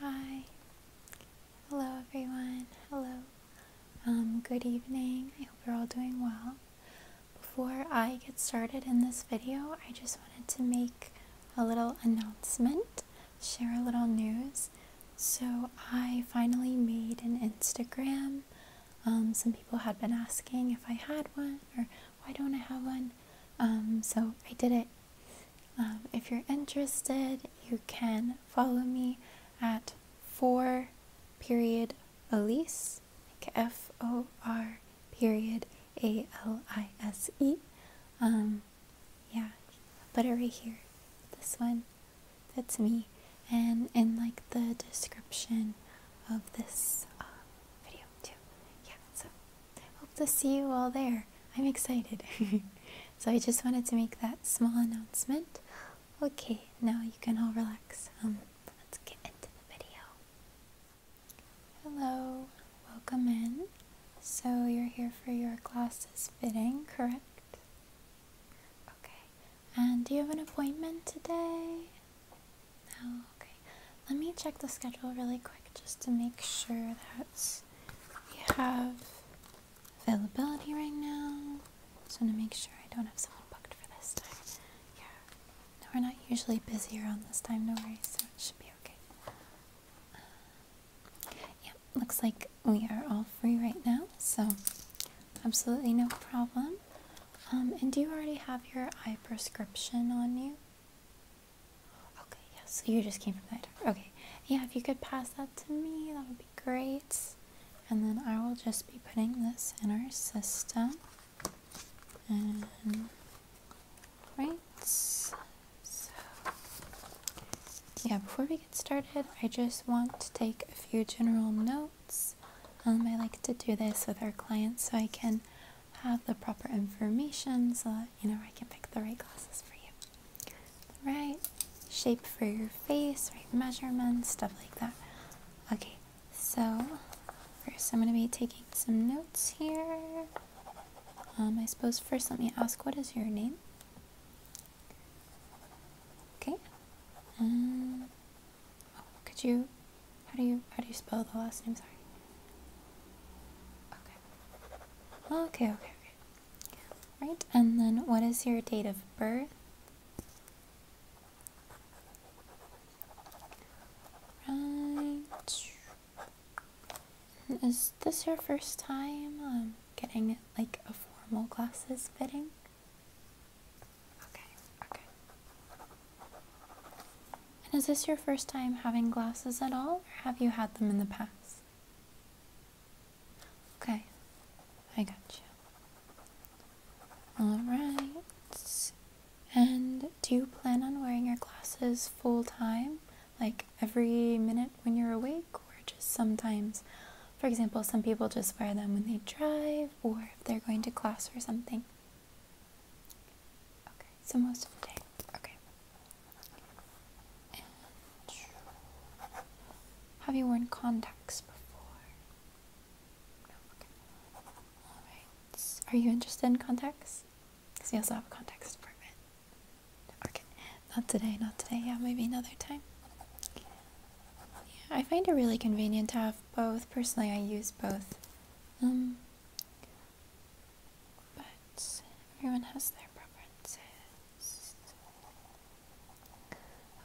Hi. Hello everyone. Hello. Um, good evening. I hope you're all doing well. Before I get started in this video, I just wanted to make a little announcement, share a little news. So I finally made an Instagram. Um, some people had been asking if I had one or why don't I have one. Um, so I did it um, if you're interested, you can follow me at four period Elise, F O R period A L I S E. Um, yeah, but it right here. This one that's me, and in like the description of this uh, video too. Yeah, so. Hope to see you all there. I'm excited. so I just wanted to make that small announcement. Okay, now you can all relax. Um, let's get into the video. Hello, welcome in. So you're here for your glasses fitting, correct? Okay. And do you have an appointment today? No, okay. Let me check the schedule really quick just to make sure that's we have availability right now. Just want to make sure I don't have someone booked for this time. Yeah. No, we're not usually busy around this time, no worries, so it should be okay. Uh, yeah, looks like we are all free right now, so absolutely no problem. Um, and do you already have your eye prescription on you? Okay, Yes. you just came from there. Okay, yeah, if you could pass that to me, that would be great. And then I will just be putting this in our system. And, right, so, yeah, before we get started, I just want to take a few general notes. Um, I like to do this with our clients so I can have the proper information so that you know, where I can pick the right glasses for you. The right shape for your face, right measurements, stuff like that. Okay, so first I'm going to be taking some notes here. Um, I suppose first let me ask, what is your name? Okay. Um, oh, could you, how do you, how do you spell the last name? Sorry. Okay, okay, okay. Right, and then what is your date of birth? Right. Is this your first time um, getting like a formal glasses fitting? Okay, okay. And is this your first time having glasses at all, or have you had them in the past? Okay, I got you. Alright. And do you plan on wearing your glasses full time? Like every minute when you're awake, or just sometimes? For example, some people just wear them when they drive or if they're going to class or something. Okay, so most of the day. Okay. have you worn contacts before? No. Okay. All right. Are you interested in contacts? Because we also have a contacts department. Okay. Not today. Not today. Yeah, maybe another time. Yeah, I find it really convenient to have both. Personally, I use both. Um. But everyone has their preferences.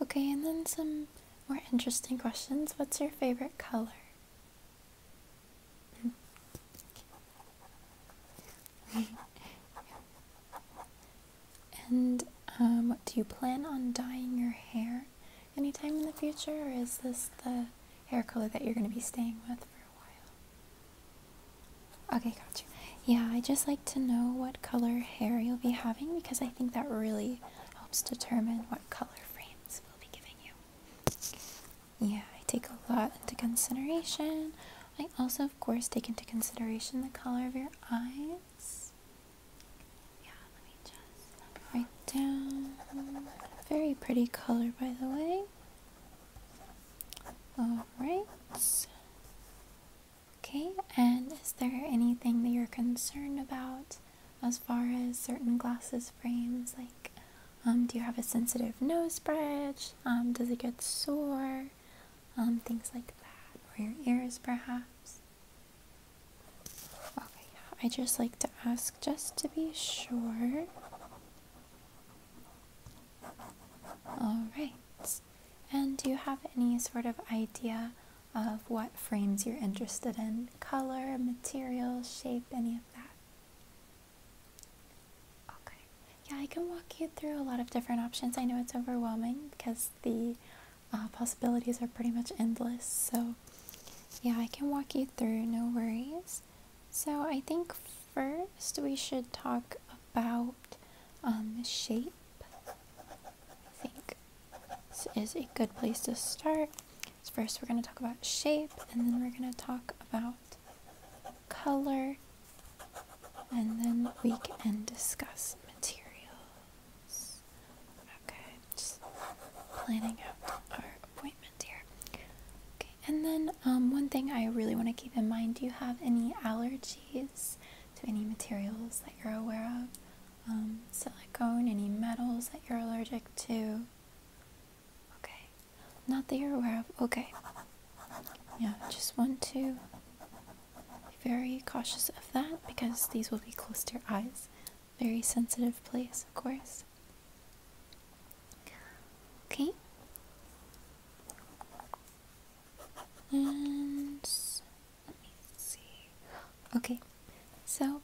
Okay, and then some more interesting questions. What's your favorite color? And um, do you plan on dyeing your hair anytime in the future, or is this the hair color that you're going to be staying with for a while? Okay, gotcha. Yeah, I just like to know what color hair you'll be having because I think that really helps determine what color frames we'll be giving you. Yeah, I take a lot into consideration. I also, of course, take into consideration the color of your eyes. Yeah, let me just write down. Very pretty color, by the way. Alright. Okay, and is there anything that you're concerned about as far as certain glasses frames? Like, um, do you have a sensitive nose bridge? Um, does it get sore? Um, things like that. Or your ears, perhaps? Okay, I just like to ask just to be sure. Alright. And do you have any sort of idea of what frames you're interested in? Color, material, shape, any of that? Okay. Yeah, I can walk you through a lot of different options. I know it's overwhelming because the uh, possibilities are pretty much endless. So, yeah, I can walk you through, no worries. So, I think first we should talk about um, shape. I think this is a good place to start. So first we're going to talk about shape and then we're going to talk about color and then we can discuss materials. Okay, just planning out our appointment here. Okay, and then um, one thing I really want to keep in mind, do you have any allergies? to any materials that you're aware of, um, silicone, any metals that you're allergic to. Okay, not that you're aware of. Okay, yeah, just want to be very cautious of that because these will be close to your eyes. Very sensitive place, of course. Okay. And let me see. Okay, so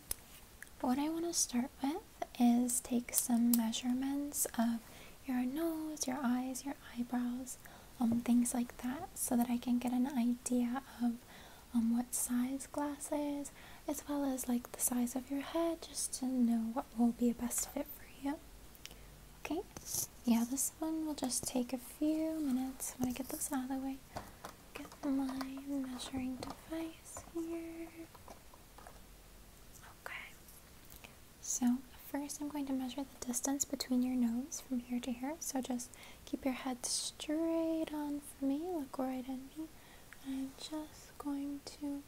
what I want to start with is take some measurements of your nose, your eyes, your eyebrows, um, things like that, so that I can get an idea of um, what size glasses, as well as like the size of your head, just to know what will be a best fit for you. Okay, yeah, this one will just take a few minutes. I'm get this out of the way. Get my measuring device here. Okay, so first I'm going to measure the distance between your nose from here to here. So just keep your head straight on for me, look right at me. I'm just going to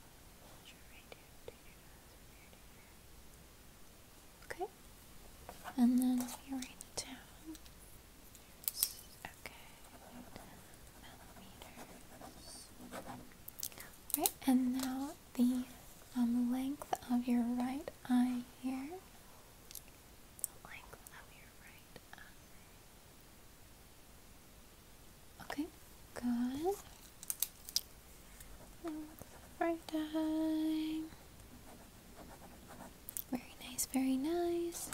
Okay. And then you me write it down. Okay. Millimeters. Right, and now the um, length of your right eye here. The length of your right eye. Okay, good right eye? Very nice, very nice.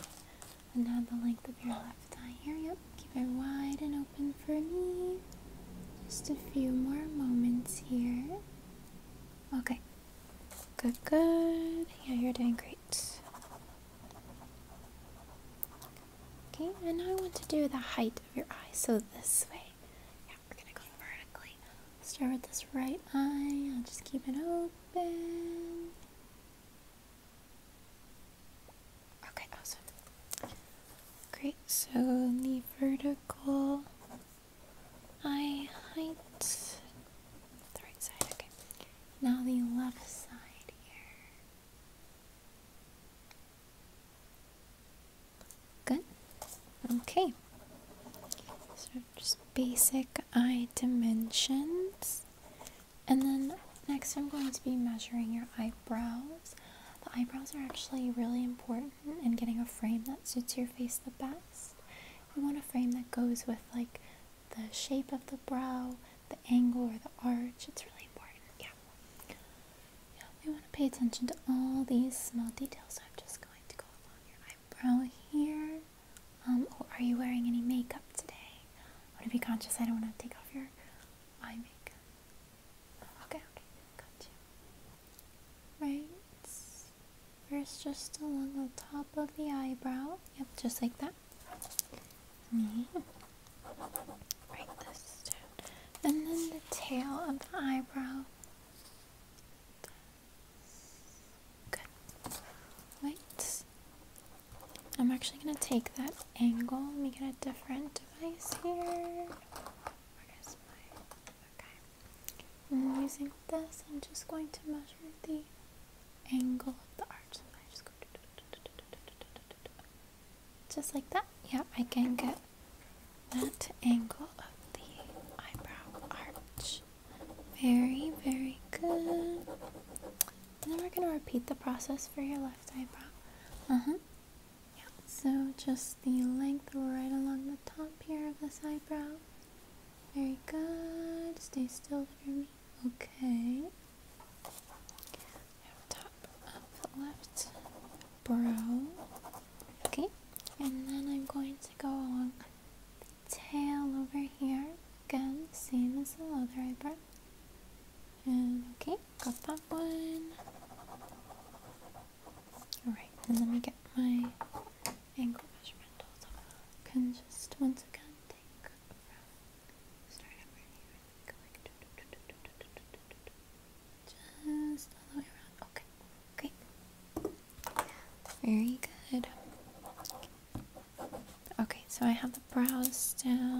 And now the length of your left eye here. Yep, keep it wide and open for me. Just a few more moments here. Okay. Good, good. Yeah, you're doing great. Okay, and now I want to do the height of your eye, so this way we're gonna go vertically. Start with this right eye. I'll just keep it open. Okay, awesome. Great, so the vertical eye height. The right side, okay. Now the left side here. Good. Okay. So just basic eye dimensions. And then next I'm going to be measuring your eyebrows. The eyebrows are actually really important in getting a frame that suits your face the best. You want a frame that goes with like the shape of the brow, the angle or the arch. It's really important. Yeah we want to pay attention to all these small details. I'm just going to go along your eyebrow here. Um, oh, are you wearing any makeup today? I want to be conscious. I don't want to take off your eye makeup. Okay, okay, got you. Right. First, just along the top of the eyebrow. Yep, just like that. Mm -hmm. this down. And then the tail of the eyebrow. Good. Right. I'm actually going to take that angle. Let me get a different device here. Where is my. Okay. And using this, I'm just going to measure the angle of the arch. just Just like that. Yeah, I can get that angle of the eyebrow arch. Very, very good. And then we're going to repeat the process for your left eyebrow. Uh huh. Yeah. So just the length right along the top here of this eyebrow. Very good. Stay still for me. Okay. top left brow. Okay. And then I'm going to to go along the tail over here. Again, same as the other eyebrow. And okay, got that one. Alright, and let me get my angle measurement all I can just once again take from start over here. Like, do, do, just all the way around. Okay, great. Very good. Okay, so I have the brows down.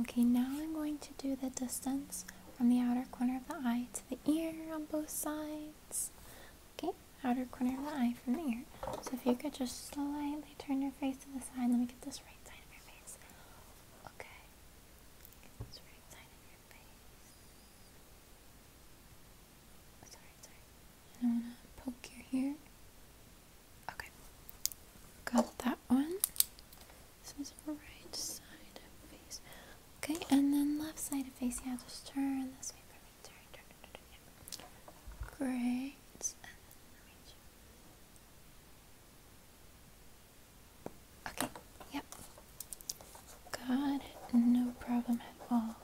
Okay, now I'm going to do the distance from the outer corner of the eye to the ear on both sides. Okay, outer corner of the eye from the ear. So if you could just slightly turn your face to the side, let me get this right side of your face. Okay, sorry, sorry. I don't want to poke your hair. Okay. Got that one. This is right side of face. Okay, and then left side of face. Yeah, just turn this way for Great. Okay, yep. Good, no problem at all.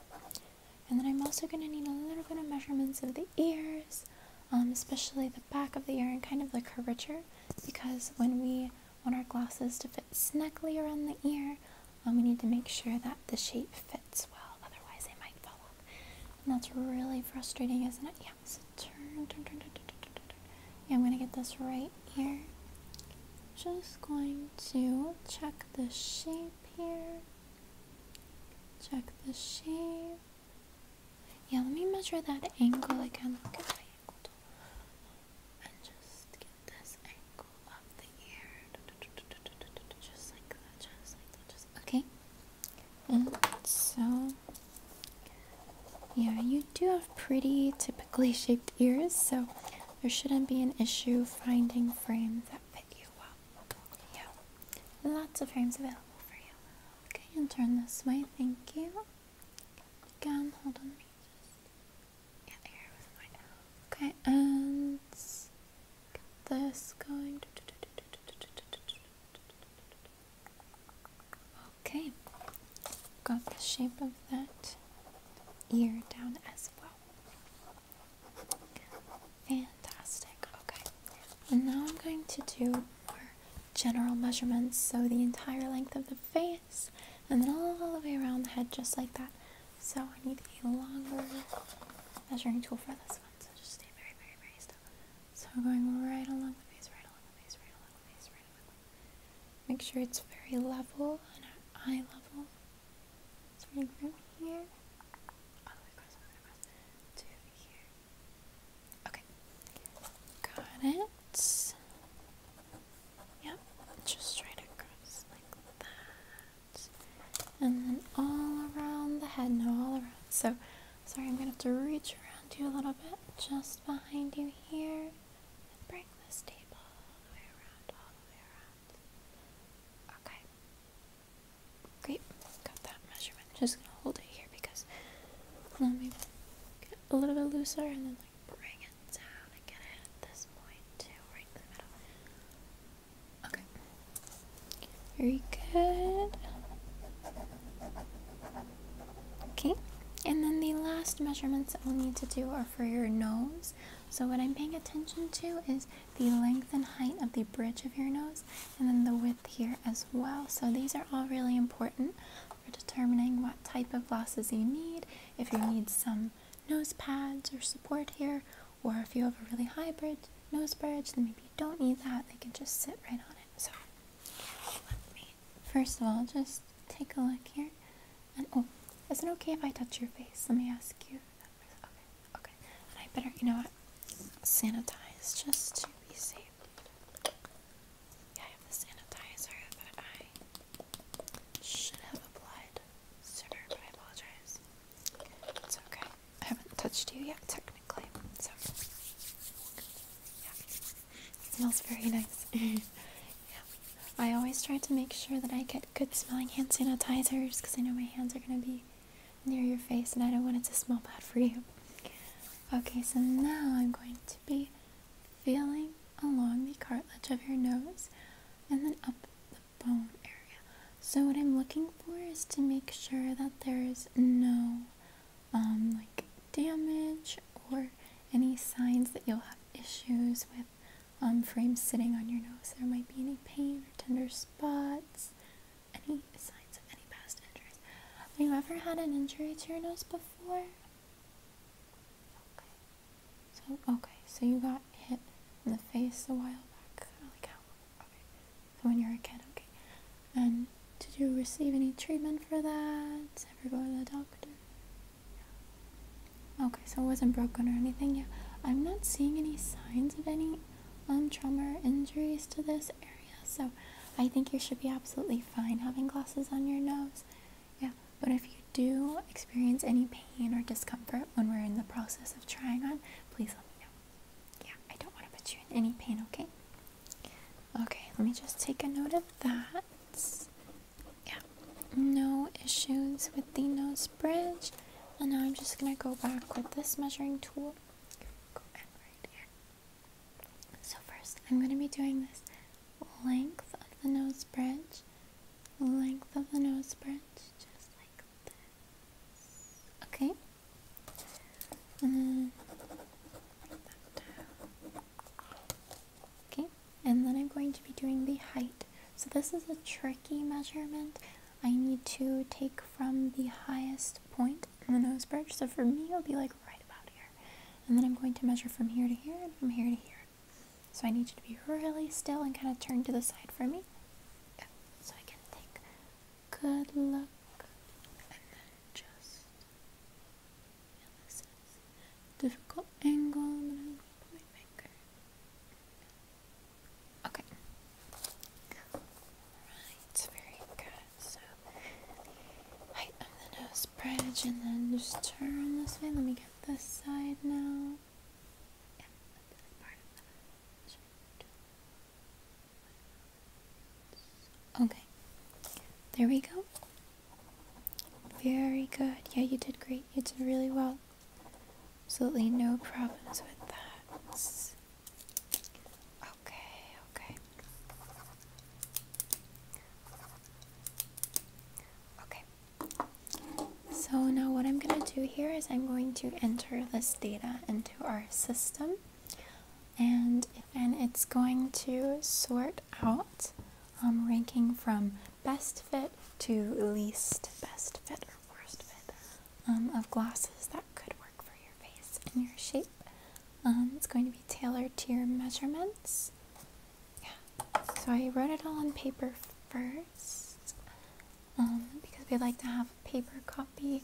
And then I'm also going to need a little bit of measurements of the ears, um, especially the back of the ear and kind of the curvature, because when we want our glasses to fit snugly around the ear, um, we need to make sure that the shape fits well, otherwise they might fall off. And that's really frustrating, isn't it? Yeah, so turn, turn, turn, turn, turn, turn, turn. Yeah, I'm going to get this right right here. Just going to check the shape here. Check the shape. Yeah, let me measure that angle again. okay. And so yeah, you do have pretty typically shaped ears, so there shouldn't be an issue finding frames that fit you well. Yeah, lots of frames available for you. Okay, and turn this way. Thank you. Again, hold on. Just get Okay, and get this going. Okay, got the shape of that ear down as well. Fantastic. Okay. And now I'm going to do more general measurements, so the entire length of the face and then all the way around the head, just like that. So I need a longer measuring tool for this one, so just stay very, very, very still. So I'm going right along the face, right along the face, right along the face, right along the face. Make sure it's very level and at eye level. It's running from here all the way across, all the way across to here. Okay, got it. Yep, just right across like that, and then all around the head. No, all around. So, sorry, I'm gonna have to reach around you a little bit, just behind you here, and bring this tape all the way around, all the way around. Okay. Great. Got that measurement. Just gonna hold it here because let me get a little bit looser and then like bring it down and get it at this point too, right in the middle. Okay. Very good. Okay. And then the last measurements that we'll need to do are for your nose. So what I'm paying attention to is the length and height of the bridge of your nose and then the width here as well. So these are all really important for determining what type of glasses you need, if you need some nose pads or support here, or if you have a really high bridge, nose bridge, then maybe you don't need that, they can just sit right on it. So first of all just take a look here and oh, is it okay if I touch your face? Let me ask you. Okay, okay. I better, you know what? Sanitize just to be safe. Yeah, I have the sanitizer that I should have applied sooner, but I apologize. It's okay. I haven't touched you yet, technically. So, yeah. smells very nice. yeah. I always try to make sure that I get good smelling hand sanitizers because I know my hands are going to be near your face and I don't want it to smell bad for you. Okay, so now I'm going to be feeling along the cartilage of your nose and then up the bone area. So what I'm looking for is to make sure that there's no um, like damage or any signs that you'll have issues with um, frame sitting on your nose. There might be any pain or tender spots, any signs of any past injuries. Have you ever had an injury to your nose before? Okay. So okay, so you got hit in the face a while back. Like how? Okay. when you were a kid, okay. And did you receive any treatment for that? Ever go to the doctor? Okay, so it wasn't broken or anything. Yeah, I'm not seeing any signs of any trauma or injuries to this area, so I think you should be absolutely fine having glasses on your nose. Yeah, but if you do experience any pain or discomfort when we're in the process of trying on, please let me know. Yeah, I don't want to put you in any pain, okay? Okay, let me just take a note of that yeah, no issues with the nose bridge. And now I'm just gonna go back with this measuring tool. So first, I'm gonna be doing this length of the nose bridge, length of the nose bridge, just like this. Okay. Okay and then I'm going to be doing the height. So this is a tricky measurement. I need to take from the highest point in the nose bridge. So for me, it'll be like right about here. And then I'm going to measure from here to here and from here to here. So I need you to be really still and kind of turn to the side for me. So I can take good look. And then just, this is difficult angle. Okay. Alright, very good. So, height of the nose bridge, and then just turn this way. Let me get this side now. Okay. There we go. Very good. Yeah, you did great. You did really well. Absolutely no problems with that. Okay, okay. Okay. So now what I'm going to do here is I'm going to enter this data into our system and, and it's going to sort out um, ranking from best fit to least best fit your worst um, of glasses that could work for your face and your shape. Um, it's going to be tailored to your measurements. Yeah. So I wrote it all on paper first um, because we like to have a paper copy of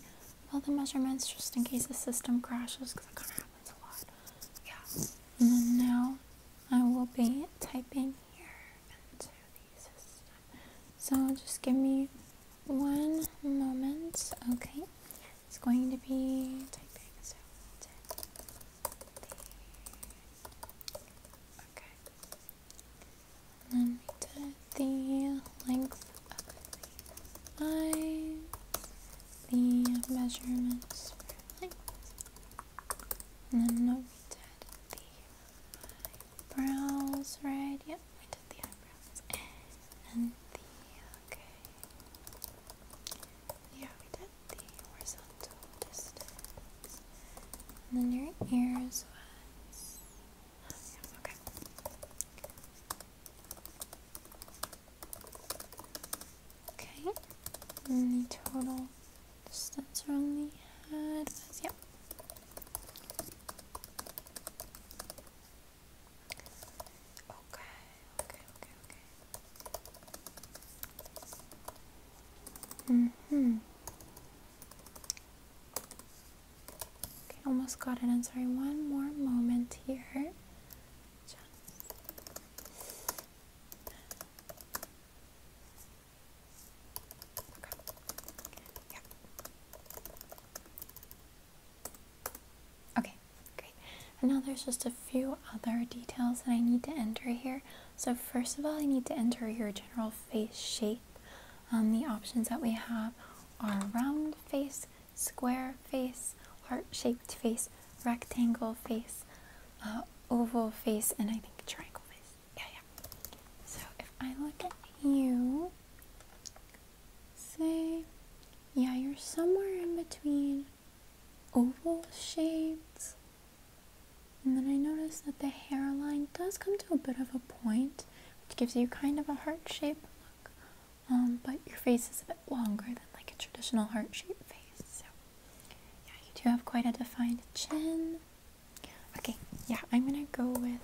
all the measurements just in case the system crashes because it kind of happens a lot. Yeah. And then now I will be typing so just give me one moment, okay? It's going to be typing, so did the, okay. then the length of the measurements then we did the Brows, right? Yep, I did the eyebrows. And the, okay. Yeah, we did the horizontal distance. then your ears was, okay. Okay, and the total the stats are only had yeah. Okay, okay, okay, okay. Mm-hmm. Okay, almost got it. I'm sorry, one more moment here. Okay. Okay, And now there's just a few other details that I need to enter here. So first of all, I need to enter your general face shape. Um, the options that we have are round face, square face, heart-shaped face, rectangle face, uh, oval face, and I think triangle face. Yeah, yeah. So if I look at you, say, yeah, you're somewhere in between oval shades. And then I notice that the hairline does come to a bit of a point, which gives you kind of a heart shape look. Um, but your face is a bit longer than like a traditional heart shape face. So yeah, you do have quite a defined chin. Okay, yeah, I'm gonna go with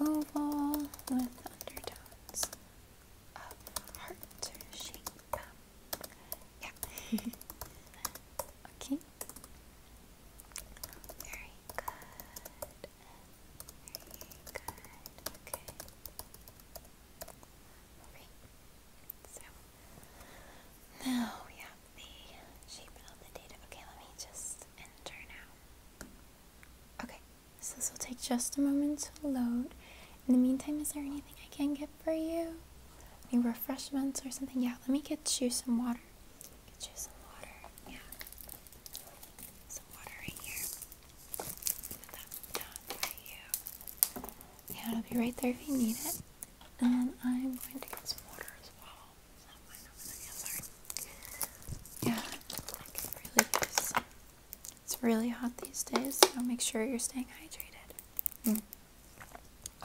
oval with undertones heart shape. Yeah. okay. Very good. Very good. Okay. Alright. So now we the shape of the data. Okay, let me just enter now. Okay, so this will take just a moment to load. In the meantime, is there anything I can get for you? Any refreshments or something? Yeah, let me get you some water. Get you some water. Yeah. Some water right here. Put that Yeah, it'll be right there if you need it. And I'm going to get some water as well. Yeah, It's really hot these days, so make sure you're staying hydrated. Mm.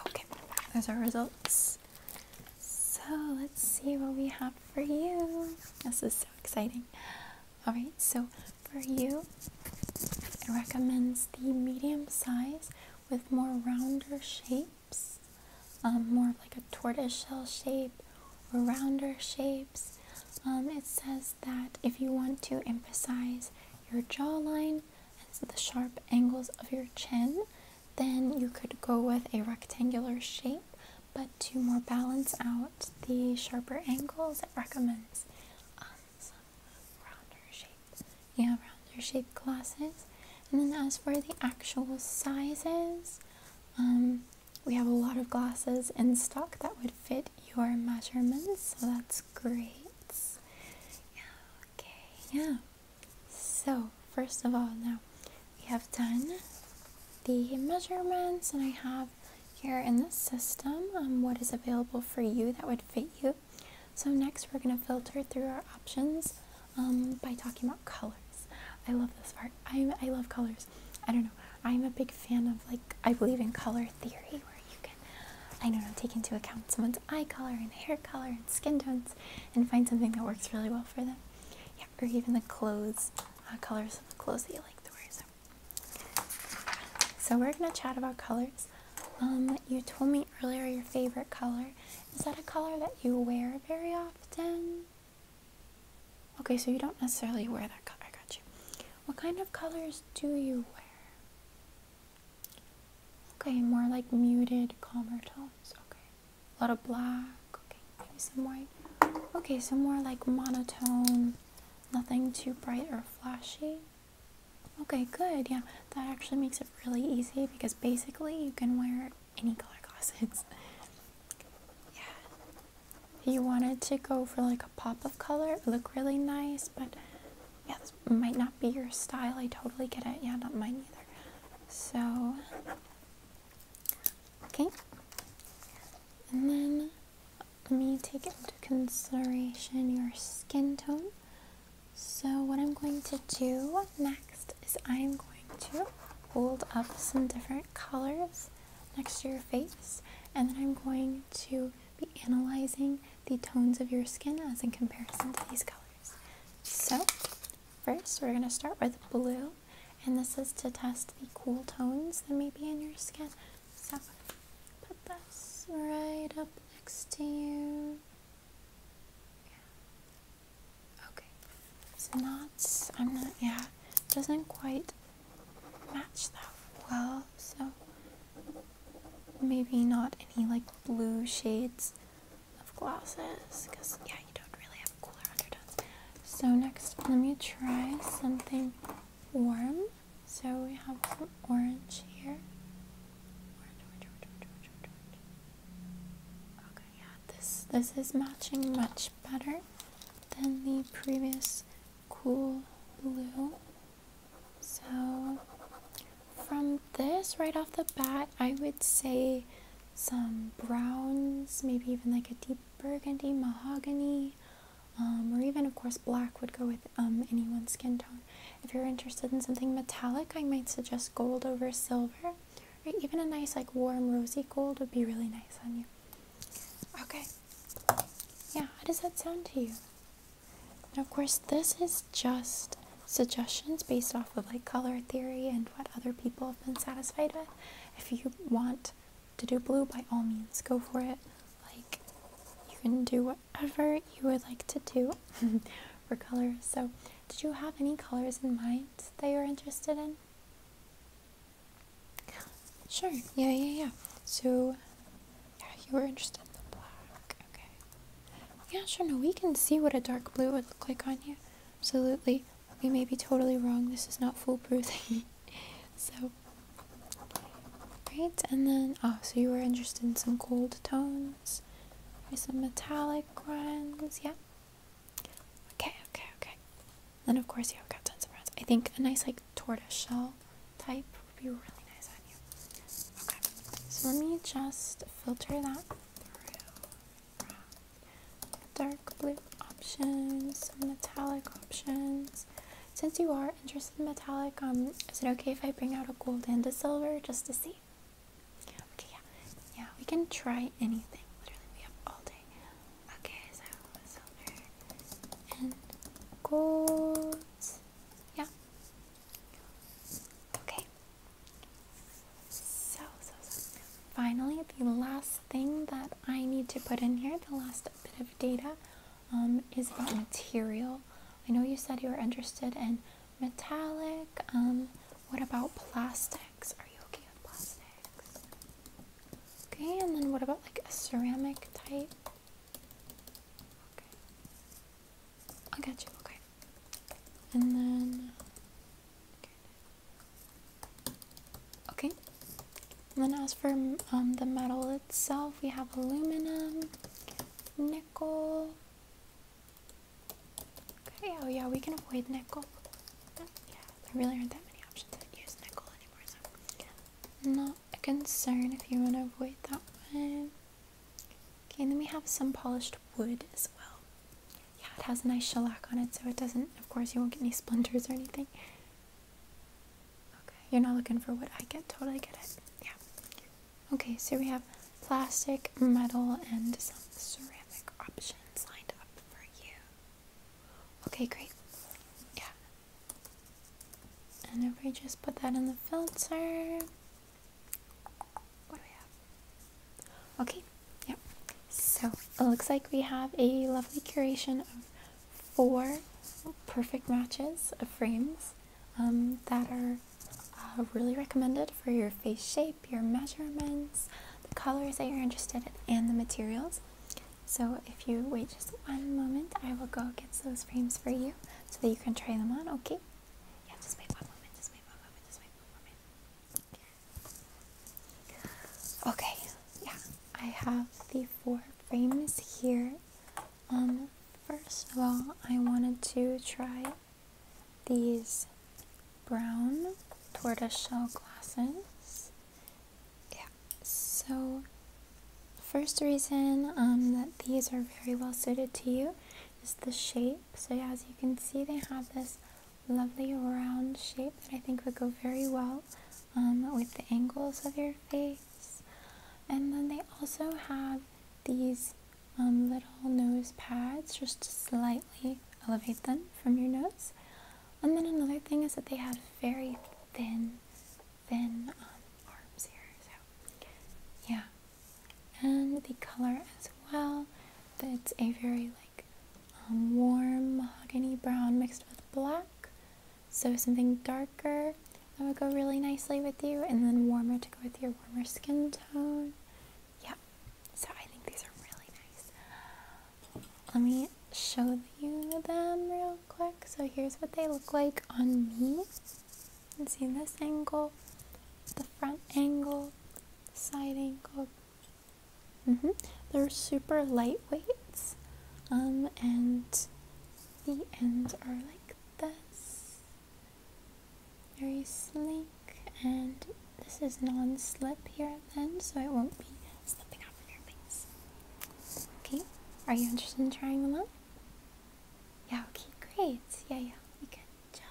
Okay, there's our results. So let's see what we have for you. This is so exciting. Alright, so for you, it recommends the medium size with more rounder shape. Um, more of like a tortoiseshell shape or rounder shapes. Um, it says that if you want to emphasize your jawline and the sharp angles of your chin, then you could go with a rectangular shape. But to more balance out the sharper angles, it recommends um, some rounder shapes. Yeah, rounder shaped glasses. And then as for the actual sizes, um, we have a lot of glasses in stock that would fit your measurements, so that's great. Yeah, okay, yeah. So, first of all, now we have done the measurements, and I have here in the system um, what is available for you that would fit you. So, next we're going to filter through our options um, by talking about colors. I love this part. I I love colors. I don't know. I'm a big fan of like I believe in color theory where you can I don't know take into account someone's eye color and hair color and skin tones and find something that works really well for them. Yeah, or even the clothes uh, colors of the clothes that you like to wear. So, we're gonna chat about colors. Um, you told me earlier your favorite color is that a color that you wear very often? Okay, so you don't necessarily wear that color. I got you. What kind of colors do you wear? Okay, more like muted, calmer tones. Okay. A lot of black. Okay, maybe some white. Okay, so more like monotone. Nothing too bright or flashy. Okay, good. Yeah, that actually makes it really easy because basically you can wear it any color glasses. yeah. You wanted to go for like a pop of color, look really nice, but yeah, this might not be your style. I totally get it. Yeah, not mine either. So, okay. And then let me take into consideration your skin tone. So, what I'm going to do next next is I am going to hold up some different colors next to your face and then I'm going to be analyzing the tones of your skin as in comparison to these colors. So first we're going to start with blue and this is to test the cool tones that may be in your skin. So put this right up next to you. Okay, so not I'm not, yeah, doesn't quite match that well, so maybe not any like blue shades of glasses, because yeah, you don't really have cooler undertones. So next, let me try something warm. So we have some orange here yeah, this this is matching much better than the previous cool blue. So from this right off the bat, I would say some browns, maybe even like a deep burgundy, mahogany, um, or even of course black would go with um, one skin tone. If you're interested in something metallic, I might suggest gold over silver even a nice like warm rosy gold would be really nice on you. Okay. Yeah, how does that sound to you? of course, this is just suggestions based off of like color theory and what other people have been satisfied with. If you want to do blue, by all means, go for it. Like, you can do whatever you would like to do. for colors. So, did you have any colors in mind that you're interested in? Sure. Yeah, yeah, yeah. So, yeah, you were interested in the black. Okay. Yeah, sure. No, we can see what a dark blue would look like on you. Absolutely. We may be totally wrong. This is not foolproof. so, great. And then, oh, so you were interested in some gold tones, or some metallic ones. Yeah. Okay, okay, okay. Then of course you have got tons of browns. I think a nice like tortoise shell type would be really nice on you. Okay, so let me just filter that through. Dark blue options, some metallic options. Since you are interested in metallic, um, is it okay if I bring out a gold and a silver just to see? Okay, yeah. Yeah, we can try anything. Literally, we have all day. Okay, so silver and gold. Yeah. Okay. So, so, so. Finally, the last thing that I need to put in here, the last bit of data, um, is about material. I know you said you were interested in metallic. Um, what about plastic? plastics? okay and then what about like a ceramic type? Okay. I got you, okay. And then Okay. And then as for um, the metal itself, we have aluminum, nickel, Okay, oh yeah, we can avoid nickel. Oh, yeah, there really aren't that many options that use nickel anymore, so not a concern if you want to avoid that one. Okay, and then we have some polished wood as well. Yeah, it has a nice shellac on it, so it doesn't, of course, you won't get any splinters or anything. Okay, you're not looking for what I get, totally get it. Yeah. Okay, so we have plastic, metal, and some ceramic options lined up for you. Okay, great. Yeah. And if we just put that in the filter, what do we have? Okay, yep. So it looks like we have a lovely curation of four perfect matches of frames um, that are uh, really recommended for your face shape your measurements, the colors that you're interested in, and the materials. So if you wait just one moment, I will go get those frames for you so that you can try them on, okay? Yeah, just wait one moment, just wait one moment, just wait one moment. Okay, yeah, I have the four frames here. Um, first of all, I wanted to try these brown tortoiseshell glasses. Yeah, so first reason um, that these are very well suited to you is the shape. So as you can see, they have this lovely round shape that I think would go very well um, with the angles of your face. And then they also have these um, little nose pads, just slight elevate them from your nose. And then another thing is that they have very thin, thin um, arms here. So, yeah. And the color as well. It's a very like um, warm mahogany brown mixed with black. So something darker that would go really nicely with you, and then warmer to go with your warmer skin tone. Yep. So I think these are really nice. Let me show you them real quick. So here's what they look like on me. And see this angle, the front angle, the side angle. Mm-hmm. They're super lightweight. Um, and the ends are like this. Very sleek and this is non-slip here at the so it won't be slipping off your face. Okay, are you interested in trying them on? Yeah, okay, great. Yeah, yeah, we can just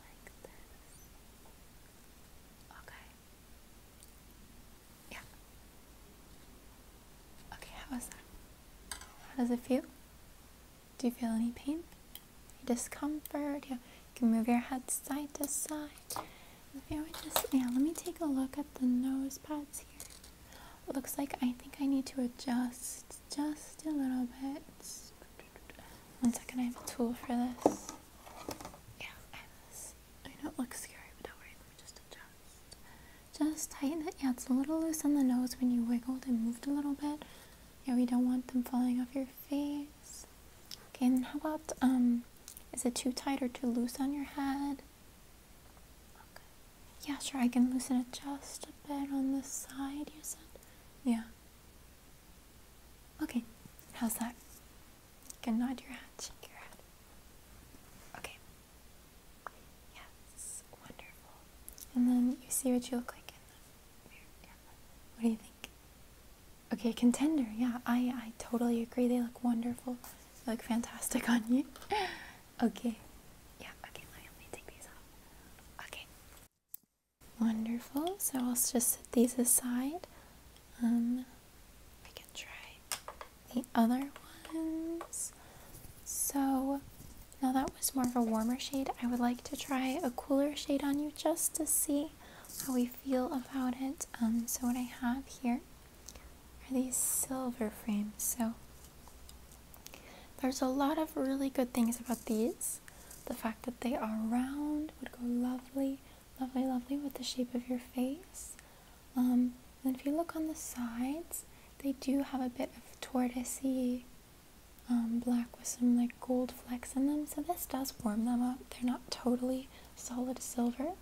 like this. Okay. Yeah. Okay, how was that? How does it feel? Do you feel any pain? discomfort. Yeah, you can move your head side to side. yeah, let me take a look at the nose pads here. looks like I think I need to adjust just a little bit. One second, I have a tool for this. Yeah, I have this. I know it looks scary, but don't worry, we me just adjust. Just tighten it. Yeah, it's a little loose on the nose when you wiggled and moved a little bit. Yeah, we don't want them falling off your face. Okay, and how about, um, is it too tight or too loose on your head? Okay. Yeah, sure, I can loosen it just a bit on this side, you said? Yeah. Okay, how's that? You can nod your head, shake your head. Okay. Yes, wonderful. And then you see what you look like in the What do you think? Okay, contender. Yeah, I I totally agree. They look wonderful. They look fantastic on you. okay. Yeah, okay, let me, take these off. Okay. Wonderful. So I'll just set these aside. Um I can try the other ones. So now that was more of a warmer shade. I would like to try a cooler shade on you just to see how we feel about it. Um, so what I have here are these silver frames. So there's a lot of really good things about these. The fact that they are round would go lovely, lovely, lovely with the shape of your face. Um, and if you look on the sides, they do have a bit of tortoisey um, black with some like gold Flex in them, so this does warm them up. They're not totally solid silver,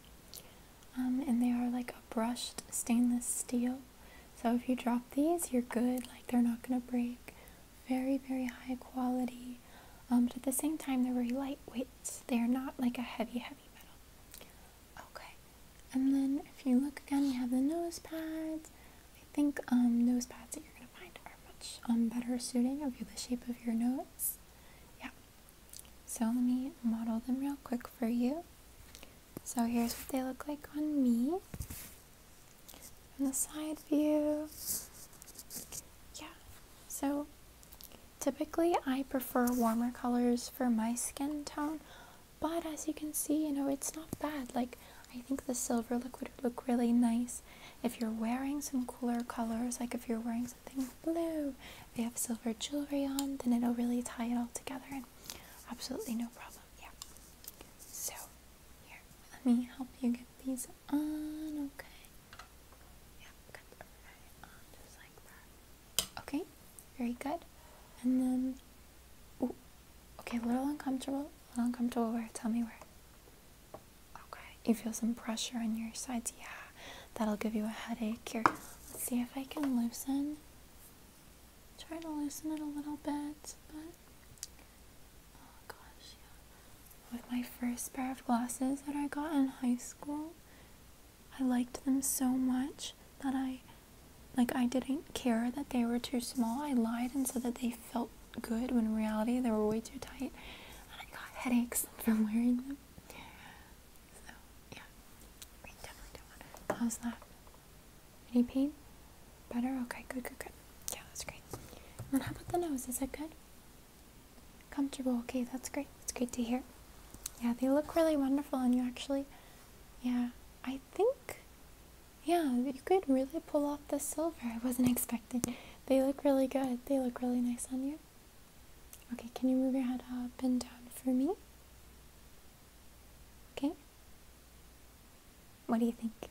um, and they are like a brushed stainless steel. So if you drop these, you're good. Like they're not going to break. Very, very high quality. Um, but at the same time, they're very lightweight. They are not like a heavy, heavy metal. Okay. And then if you look again, you have the nose pads. I think um, nose pads are much um, better suiting of the shape of your nose. Yeah. So let me model them real quick for you. So here's what they look like on me. From the side view. Yeah. So typically I prefer warmer colors for my skin tone. But as you can see, you know, it's not bad. Like, I think the silver look would look really nice if you're wearing some cooler colors, like if you're wearing something blue, if you have silver jewelry on, then it'll really tie it all together absolutely no problem. Yeah. So, here, let me help you get these on, okay? Yeah, Okay, very good. And then, ooh, okay, a little uncomfortable, a little uncomfortable where? Tell me where. Okay, you feel some pressure on your sides. Yeah, that'll give you a headache. Here, let's see if I can loosen. Try to loosen it a little bit, but oh gosh, yeah. With my first pair of glasses that I got in high school, I liked them so much that I like I didn't care that they were too small. I lied and said that they felt good when in reality they were way too tight and I got headaches from wearing them. So, yeah, How's that? Any pain? Better? Okay, good, good, good. Yeah, that's great. And then how about the nose? Is that good? Comfortable. Okay, that's great. That's great to hear. Yeah, they look really wonderful and you actually, yeah, I think, yeah, you could really pull off the silver. I wasn't expecting they look really good. They look really nice on you. Okay, can you move your head up and down for me? Okay. What do you think? Okay,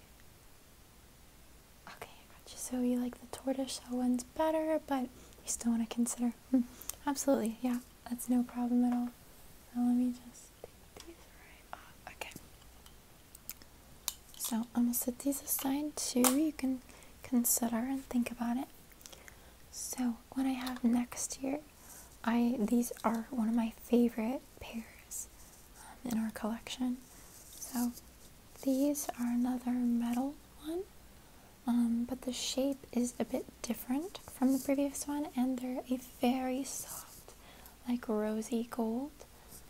I got you. So you like the tortoiseshell ones better, but you still want to consider. Hmm, absolutely, yeah, that's no problem at all. Now let me just take these right off. Okay. So I'm gonna set these aside too. You can consider and think about it. So what I have next here, I these are one of my favorite pairs um, in our collection. So these are another metal one, um, but the shape is a bit different from the previous one, and they're a very soft, like rosy gold,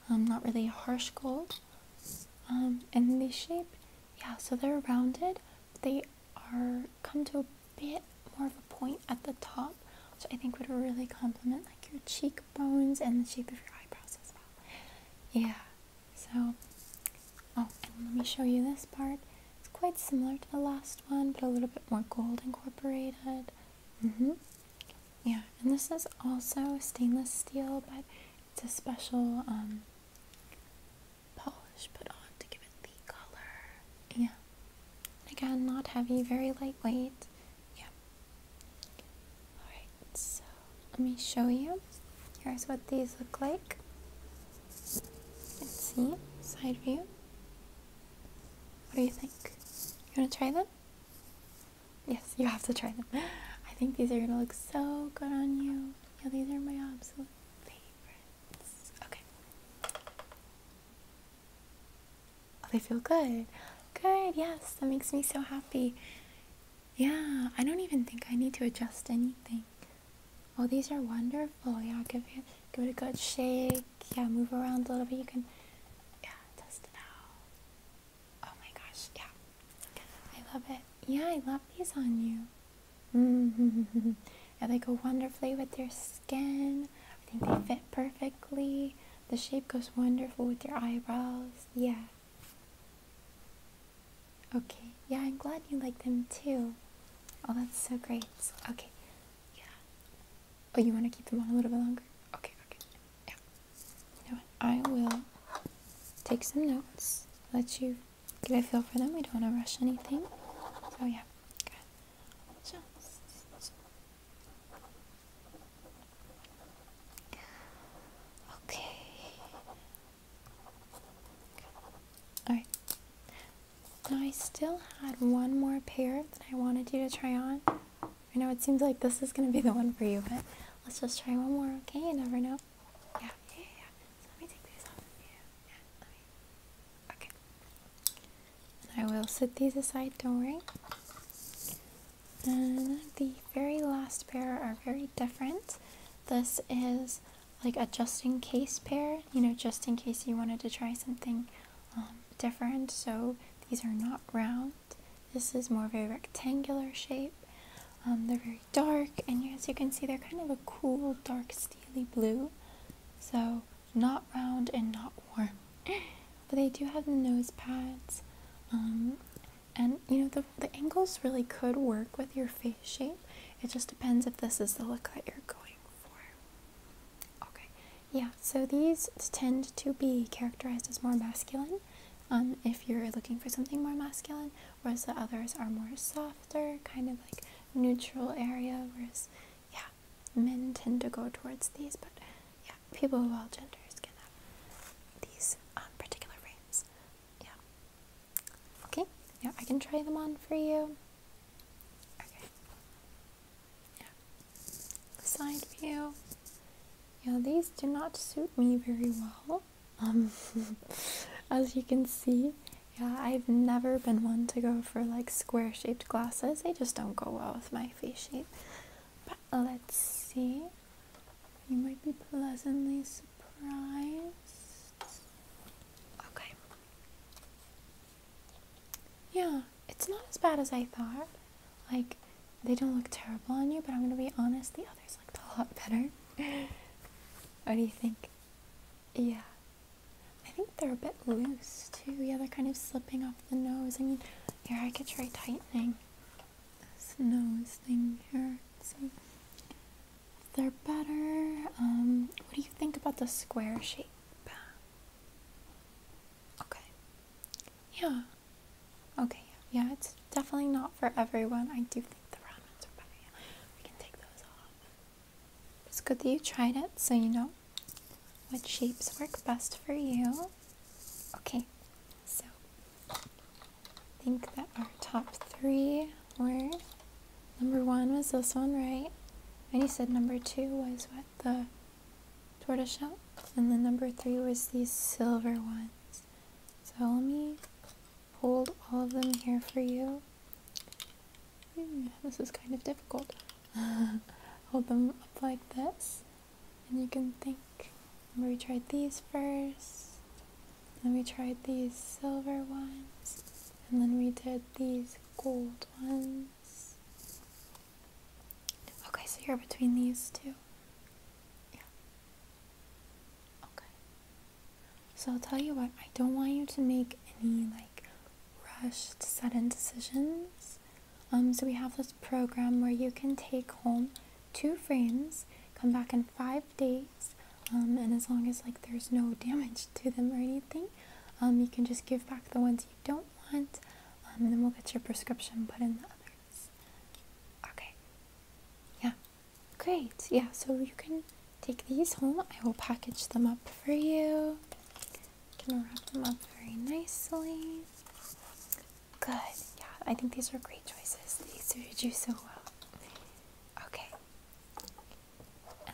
um, not really harsh gold circles um, and the shape yeah so they're rounded they are come to a bit more of a point at the top which i think would really complement like your cheekbones and the shape of your eyebrows as well yeah so oh let me show you this part it's quite similar to the last one but a little bit more gold incorporated mm-hmm yeah and this is also stainless steel but it's a special um, polish put on to give it the color. Yeah. Again, not heavy, very lightweight. Yeah. Alright, so let me show you. Here's what these look like. Let's see, side view. What do you think? You want to try them? Yes, you have to try them. I think these are gonna look so good on you. Yeah, these are my absolute favorites. Okay. Oh, they feel good. Good, yes, that makes me so happy. Yeah, I don't even think I need to adjust anything. Oh, these are wonderful. Yeah, give it, give it a good shake. Yeah, move around a little bit. You can, yeah, test it out. Oh my gosh, yeah. I love it. Yeah, I love these on you. yeah, they go wonderfully with your skin. I think they fit perfectly. The shape goes wonderful with your eyebrows. Yeah. Okay. Yeah, I'm glad you like them too. Oh, that's so great. Okay. Yeah. Oh, you want to keep them on a little bit longer? Okay, okay. Yeah. I will take some notes, let you get a feel for them. We don't want to rush anything. So, yeah. Okay. okay. Alright. Now, I still had one more pair that I wanted you to try on. I know it seems like this is going to be the one for you, but let's just try one more, okay? You never know. Yeah, yeah, yeah. let me take these off. Yeah, yeah. Okay. And I will set these aside. Don't worry. And the very last pair are very different. This is like a just in case pair. You know, just in case you wanted to try something um, different. So these are not round. This is more of a rectangular shape. Um, they're very dark, and as you can see, they're kind of a cool, dark, steely blue. So, not round and not warm. But they do have the nose pads. Um, and, you know, the, the angles really could work with your face shape. It just depends if this is the look that you're going for. Okay, yeah, so these tend to be characterized as more masculine. Um, if you're looking for something more masculine, whereas the others are more softer, kind of like neutral area, whereas yeah, men tend to go towards these, but yeah, people of all genders can have these on um, particular frames. Yeah. Okay, yeah, I can try them on for you. Okay. Yeah. Side view. Yeah, these do not suit me very well. Um, as you can see, yeah, I've never been one to go for like square shaped glasses. They just don't go well with my face shape. But let's see. You might be pleasantly surprised. Okay. Yeah, it's not as bad as I thought. Like, they don't look terrible on you, but I'm gonna be honest, the others looked a lot better. what do you think? Yeah. I think they're a bit loose too. Yeah, they're kind of slipping off the nose. I mean, here I could try tightening this nose thing here. So if they're better. Um, what do you think about the square shape? Okay. Yeah. Okay. Yeah, it's definitely not for everyone. I do think the round ones are better. we can take those off. It's good that you tried it so you know what shapes work best for you. Okay, so I think that our top three were number one was this one, right? And you said number two was what? The tortoiseshell? And then number three was these silver ones. So let me hold all of them here for you. Hmm, this is kind of difficult. hold them up like this, and you can think. we tried these first, then we tried these silver ones, and then we did these gold ones. Okay, so you're between these two. Yeah. Okay. So I'll tell you what, I don't want you to make any like rushed, sudden decisions. Um, so we have this program where you can take home two frames, come back in five days, um, and as long as like there's no damage to them or anything, um, you can just give back the ones you don't want, um, and then we'll get your prescription put in the others. Okay. Yeah. Great, yeah, so you can take these home. I will package them up for you. You can wrap them up very nicely. Good, yeah, I think these are great choices. They suit you so well. Okay.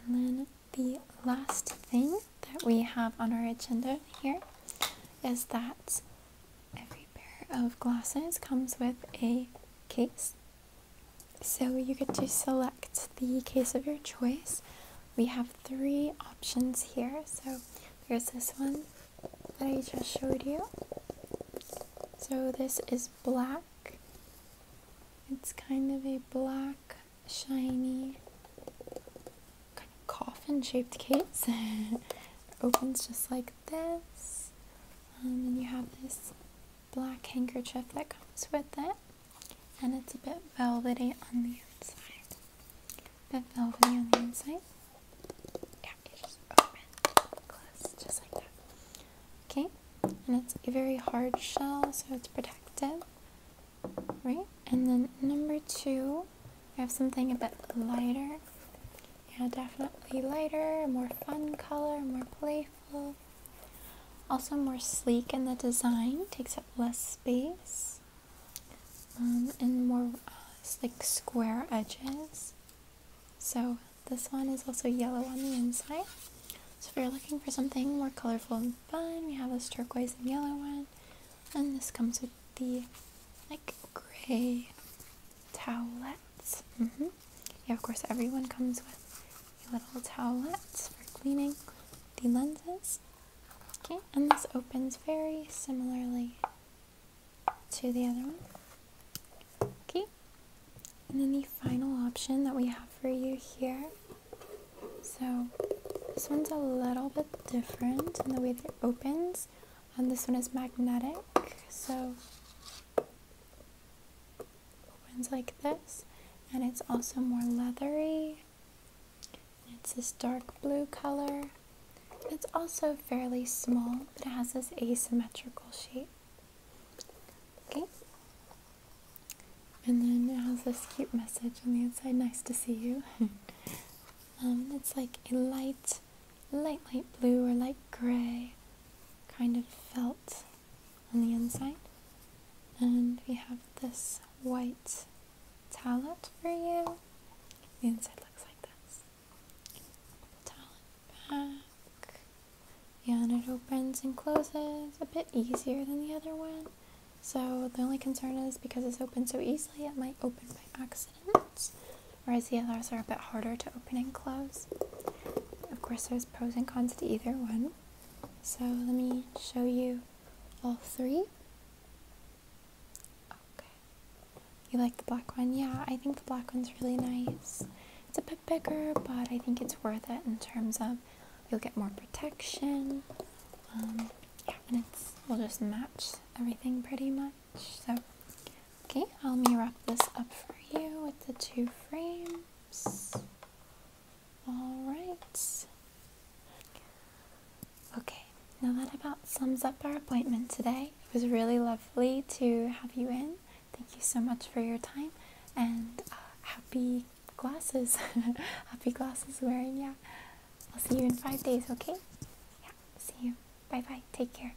And then the last thing that we have on our agenda here is that every pair of glasses comes with a case so you get to select the case of your choice. We have three options here. So there's this one that I just showed you. So this is black. It's kind of a black, shiny, kind of coffin-shaped case. opens just like this. Um, and then you have this black handkerchief that comes with it and it's a bit velvety on the inside. bit velvety on the inside. Yeah, you just open, close, just like that. Okay, and it's a very hard shell, so it's protective, right? And then number two, we have something a bit lighter. Yeah, definitely lighter, a more fun color, more playful. Also more sleek in the design, takes up less space, um, and more uh, like square edges. So this one is also yellow on the inside. So if you're looking for something more colorful and fun, we have this turquoise and yellow one, and this comes with the like gray towelettes. Mm-hmm. Yeah, of course, everyone comes with little towelettes for cleaning the lenses. Okay, and this opens very similarly to the other one. Okay, and then the final option that we have for you here. So this one's a little bit different in the way that it opens. And this one is magnetic, so opens like this and it's also more leathery. It's this dark blue color. It's also fairly small, but it has this asymmetrical shape. Okay. And then it has this cute message on the inside, nice to see you. um, it's like a light, light, light blue or light gray kind of felt on the inside. And we have this white talent for you. The inside looks like this. Talent back. Yeah, and it opens and closes a bit easier than the other one. So the only concern is because it's open so easily, it might open by accident. Whereas the others are a bit harder to open open and close. Of course, there's pros and cons to either one. So let me show you all three. Okay. You like the black one? Yeah, I think the black one's really nice. It's a bit bigger, but I think it's worth it in terms of you'll get more protection. Um, and it's will just match everything pretty much. So, okay, I'll me wrap this up for you with the two frames. All right. Okay, now that about sums up our appointment today. It was really lovely to have you in. Thank you so much for your time and uh, happy glasses. happy glasses wearing, yeah. I'll see you in five days, okay? Yeah, see you. Bye bye. Take care.